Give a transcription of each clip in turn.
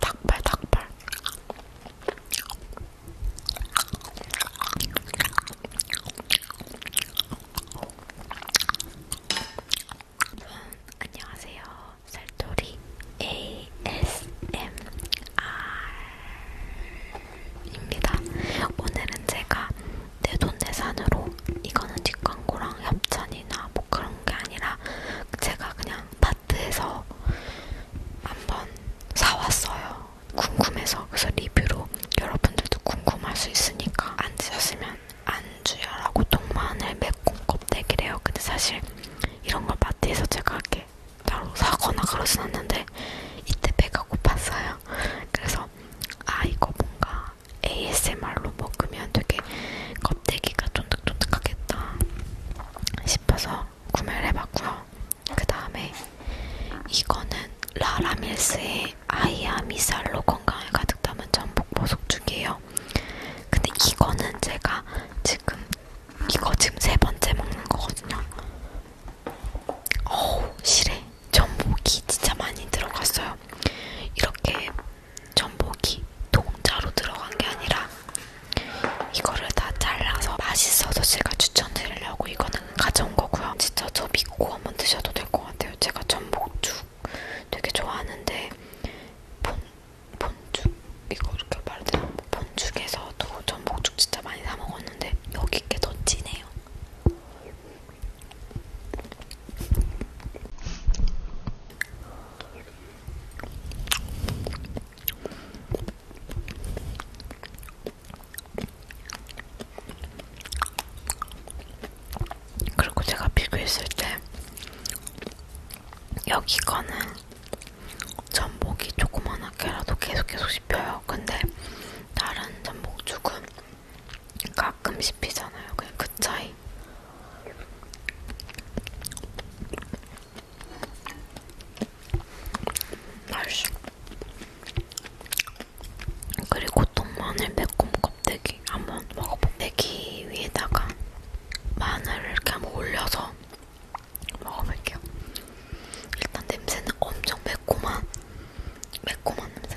닭발 닭발 안녕하세요 살토리 ASMR입니다 오늘은 제가 내돈내산으로 이거는 뒷광고랑 협찬이나 뭐 그런 그런 게 아니라 제가 그냥 마트에서 한번 사왔어요. 궁금해서. 그래서 리뷰로 여러분들도 궁금할 수 있으니까 안 드셨으면 안주야라고 동마늘 매콤 껍데기래요. 근데 사실 이런 걸 마트에서 제가 이렇게 따로 사거나 그러진 않는데 이때 배가 고팠어요. 그래서 아 이거 뭔가 ASMR로 먹으면 되게 껍데기가 쫀득쫀득하겠다 싶어서 구매를 해봤고요. 그 다음에 이거는 라라밀스의 아이아미살로 건강을 가득 담은 전복 보석죽이에요. 근데 이거는 제가 지금 이거 지금 세 번째 먹는 거거든요. 어우 실에 전복이 진짜 많이 들어갔어요. 이렇게 전복이 동자로 들어간 게 아니라 이거를 다 잘라서 맛있어서 제가 추천드리려고 이거는 가져온 거고요. 진짜 저 믿고 한번 드셔도 될 것 같아요. 제가 전복죽 되게 좋아하는데 본, 본죽 이거 이렇게 말하자면 본죽에서도 전복죽 진짜 많이 사 먹었는데 여기 게더 진해요. 그리고 제가 비교했을 때 여기 거는 전복이 조그만하게라도 계속 계속 씹혀요. 근데 다른 전복죽은 가끔 씹히잖아요. 그냥 그 차이. 맛있어. 그리고 동마늘 매콤 껍데기 한번 먹어볼게요. 대기 위에다가 마늘을 이렇게 한번 올려서 먹어볼게요. 일단 냄새는 엄청 매콤한, 매콤한 냄새.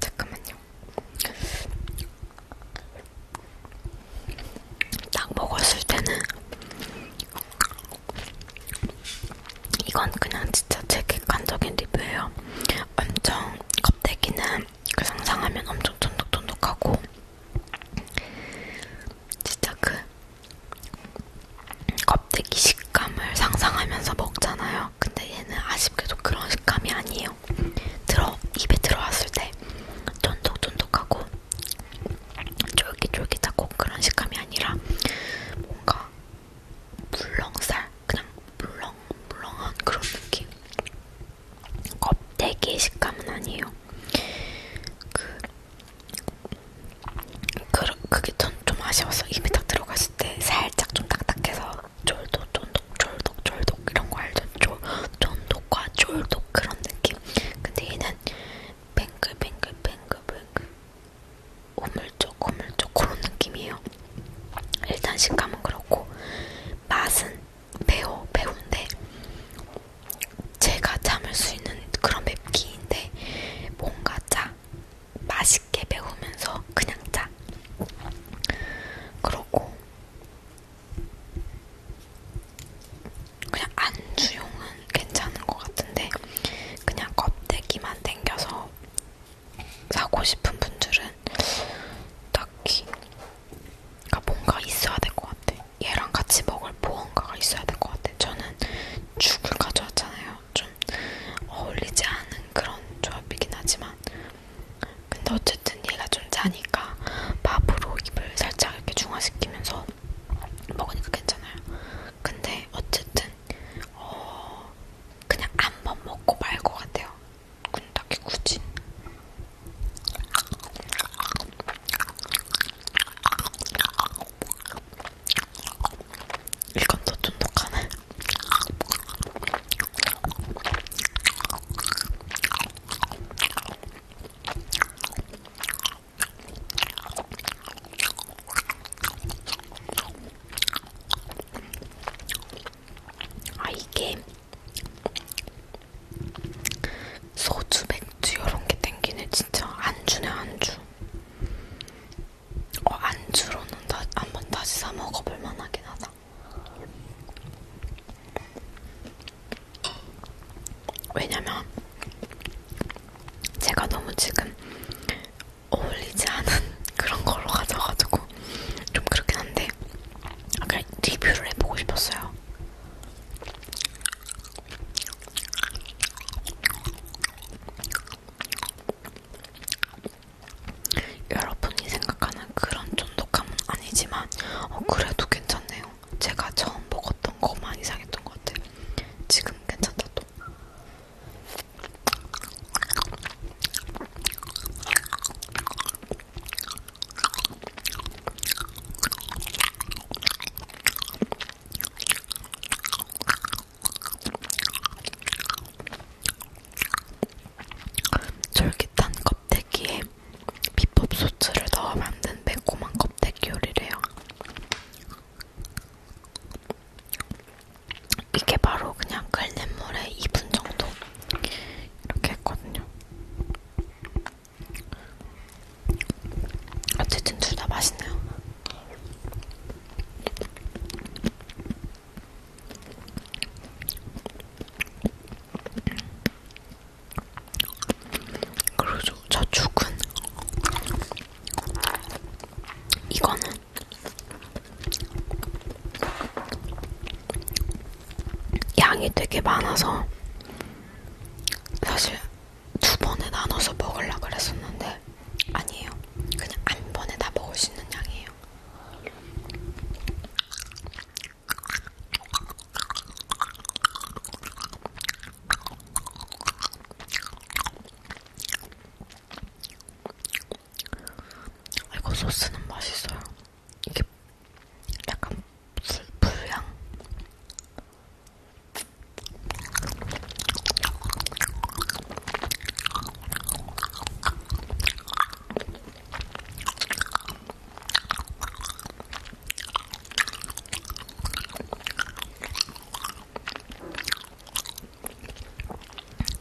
잠깐만요. 딱 먹었을 때는 이건 그냥 진짜 제 객관적인 리뷰예요. 엄청 껍데기는 그 상상하면 엄청 쫀득쫀득하고 진짜 그 껍데기 식감을 상상하면서 먹잖아요. 근데 얘는 아쉽게도 그런 식감이 아니에요. 들어 입에 들어왔을 때 쫀득쫀득하고 쫄깃쫄깃하고 그런 식감이 아니라 뭔가 물렁살 그냥 물렁 물렁한 그런 느낌. 껍데기 식감은 아니에요. 그, 그 그게 전좀 아쉬웠어. 입에 딱 들어갔을 때 살짝 좀 딱딱해서 쫄독, 쫀독, 쫄독, 쫄독 이런 거 알죠? 쫄, 쫀독과 쫄독 그런 느낌. 근데 얘는 뱅글뱅글뱅글뱅글 오물쩍 오물쩍 그런 느낌이에요. 일단 식감은 그렇고 맛은 매워 매운데 제가 참을 수 있는 그런 맵기인데 뭔가 짜 맛있게 배우면서 그냥 짜. 그러고 그냥 안주용은 괜찮은 것 같은데 그냥 껍데기만 당겨서 사고 싶은 분들은 딱히 그러니까 뭔가 있어야 될 것 같아. 얘랑 같이 먹을 무언가가 있어야 될 것 같아. 저는 죽을 가져왔잖아요. 좀 어울리지 않은 그런 조합이긴 하지만 근데 어쨌든 얘가 좀 자니까 밥으로 입을 살짝 이렇게 중화시키면서 먹으니까 괜찮아요. 근데 어쨌든 어 그냥 한번 먹고 말 것 같아요. 근데 딱히 굳이 이건 더 쫀득하네. 아 이게 소주 맥주 이런 게 땡기네 진짜 안주네 안주. 어, 안주로는 다, 한번 다시 사 먹어볼 만하긴 하다. 왜냐면 제가 너무 지금 어울리지 않은 그런 걸로 가져가지고 좀 그렇긴 한데 그냥 리뷰를 해보고 싶었어요. 여러분이 생각하는 그런 쫀득함은 아니지만 어, 그래도 괜찮네요. 제가 처음 먹었던 거만 이상했던 것 같아요. 지금 괜찮다 또. 쫄깃한 껍데기에 비법 소스를 넣어 만든 매콤한 껍데기 요리래요. 이게 바로 그냥 끓는 물에 2분 정도 이렇게 했거든요. 어쨌든 둘 다 맛있네요. 그리고 저 죽은 이거는 양이 되게 많아서 사실 두 번에 나눠서 먹으려고 그랬었는데 아니에요. 그냥 한 번에 다 먹을 수 있는 양이에요. 이거 소스는 맛있어요. 이게 약간 불, 불향?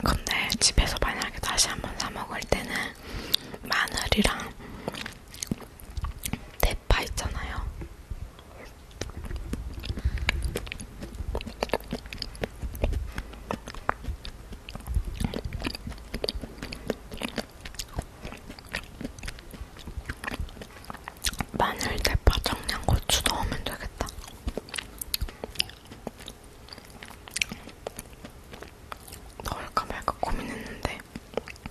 근데 집에서 만약에 다시 한번 사 먹을 때는 마늘이랑 대파 있잖아요. 마늘, 대파, 청양고추 넣으면 되겠다. 넣을까 말까 고민했는데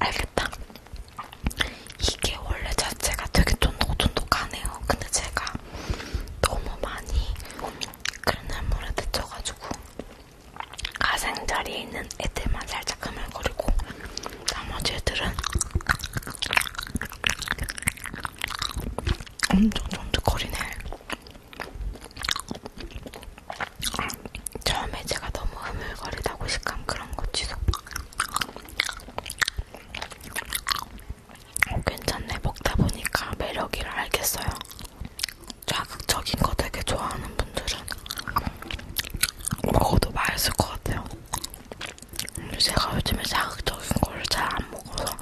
알겠다. 이게 원래 자체가 되게 쫀득쫀득하네요. 근데 제가 너무 많이 그런 물에 데쳐가지고 가생 자리에 있는 애들만 살짝 흐물거리고 나머지 애들은 엄청 쫀득거리네. 처음에 제가 너무 흐물거리다고 식감 그런 거 취소. 어, 괜찮네. 먹다 보니까 매력이라 알겠어요. 자극적인 거 되게 좋아하는 분들은 먹어도 맛있을 것 같아요. 제가 요즘에 자극적인 걸 잘 안 먹어서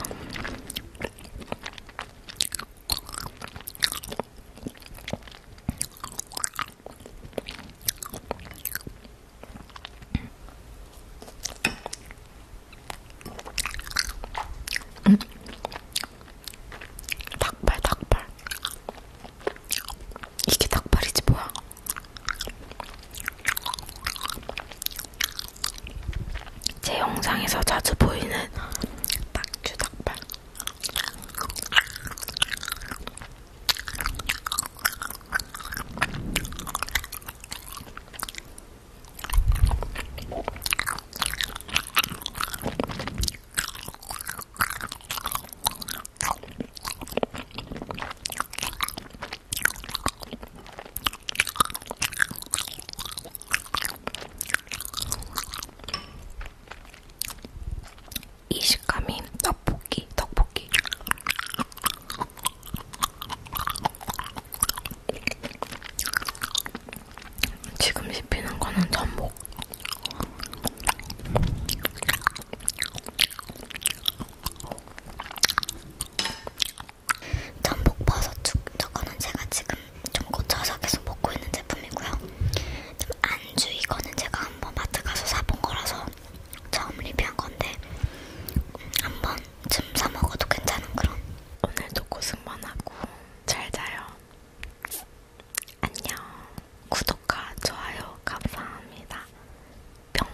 음. 닭발 닭발 이게 닭발이지 뭐야 제 영상에서 자주 보이는 딱주 닭발. 이 식감이 떡볶이, 떡볶이. 지금 씹히는 거는 전복. 전복 버섯 죽 저거는 제가 지금 좀 고쳐서 계속 먹고 있는 제품이고요. 좀 안주 이거는 제가 한번 마트 가서 사본 거라서 처음 리뷰한 건데 한번 쯤사 먹어도 괜찮은 그런. 오늘도 고생만 하고 잘 자요. 안녕. 구독과 좋아요 감사합니다. 뿅.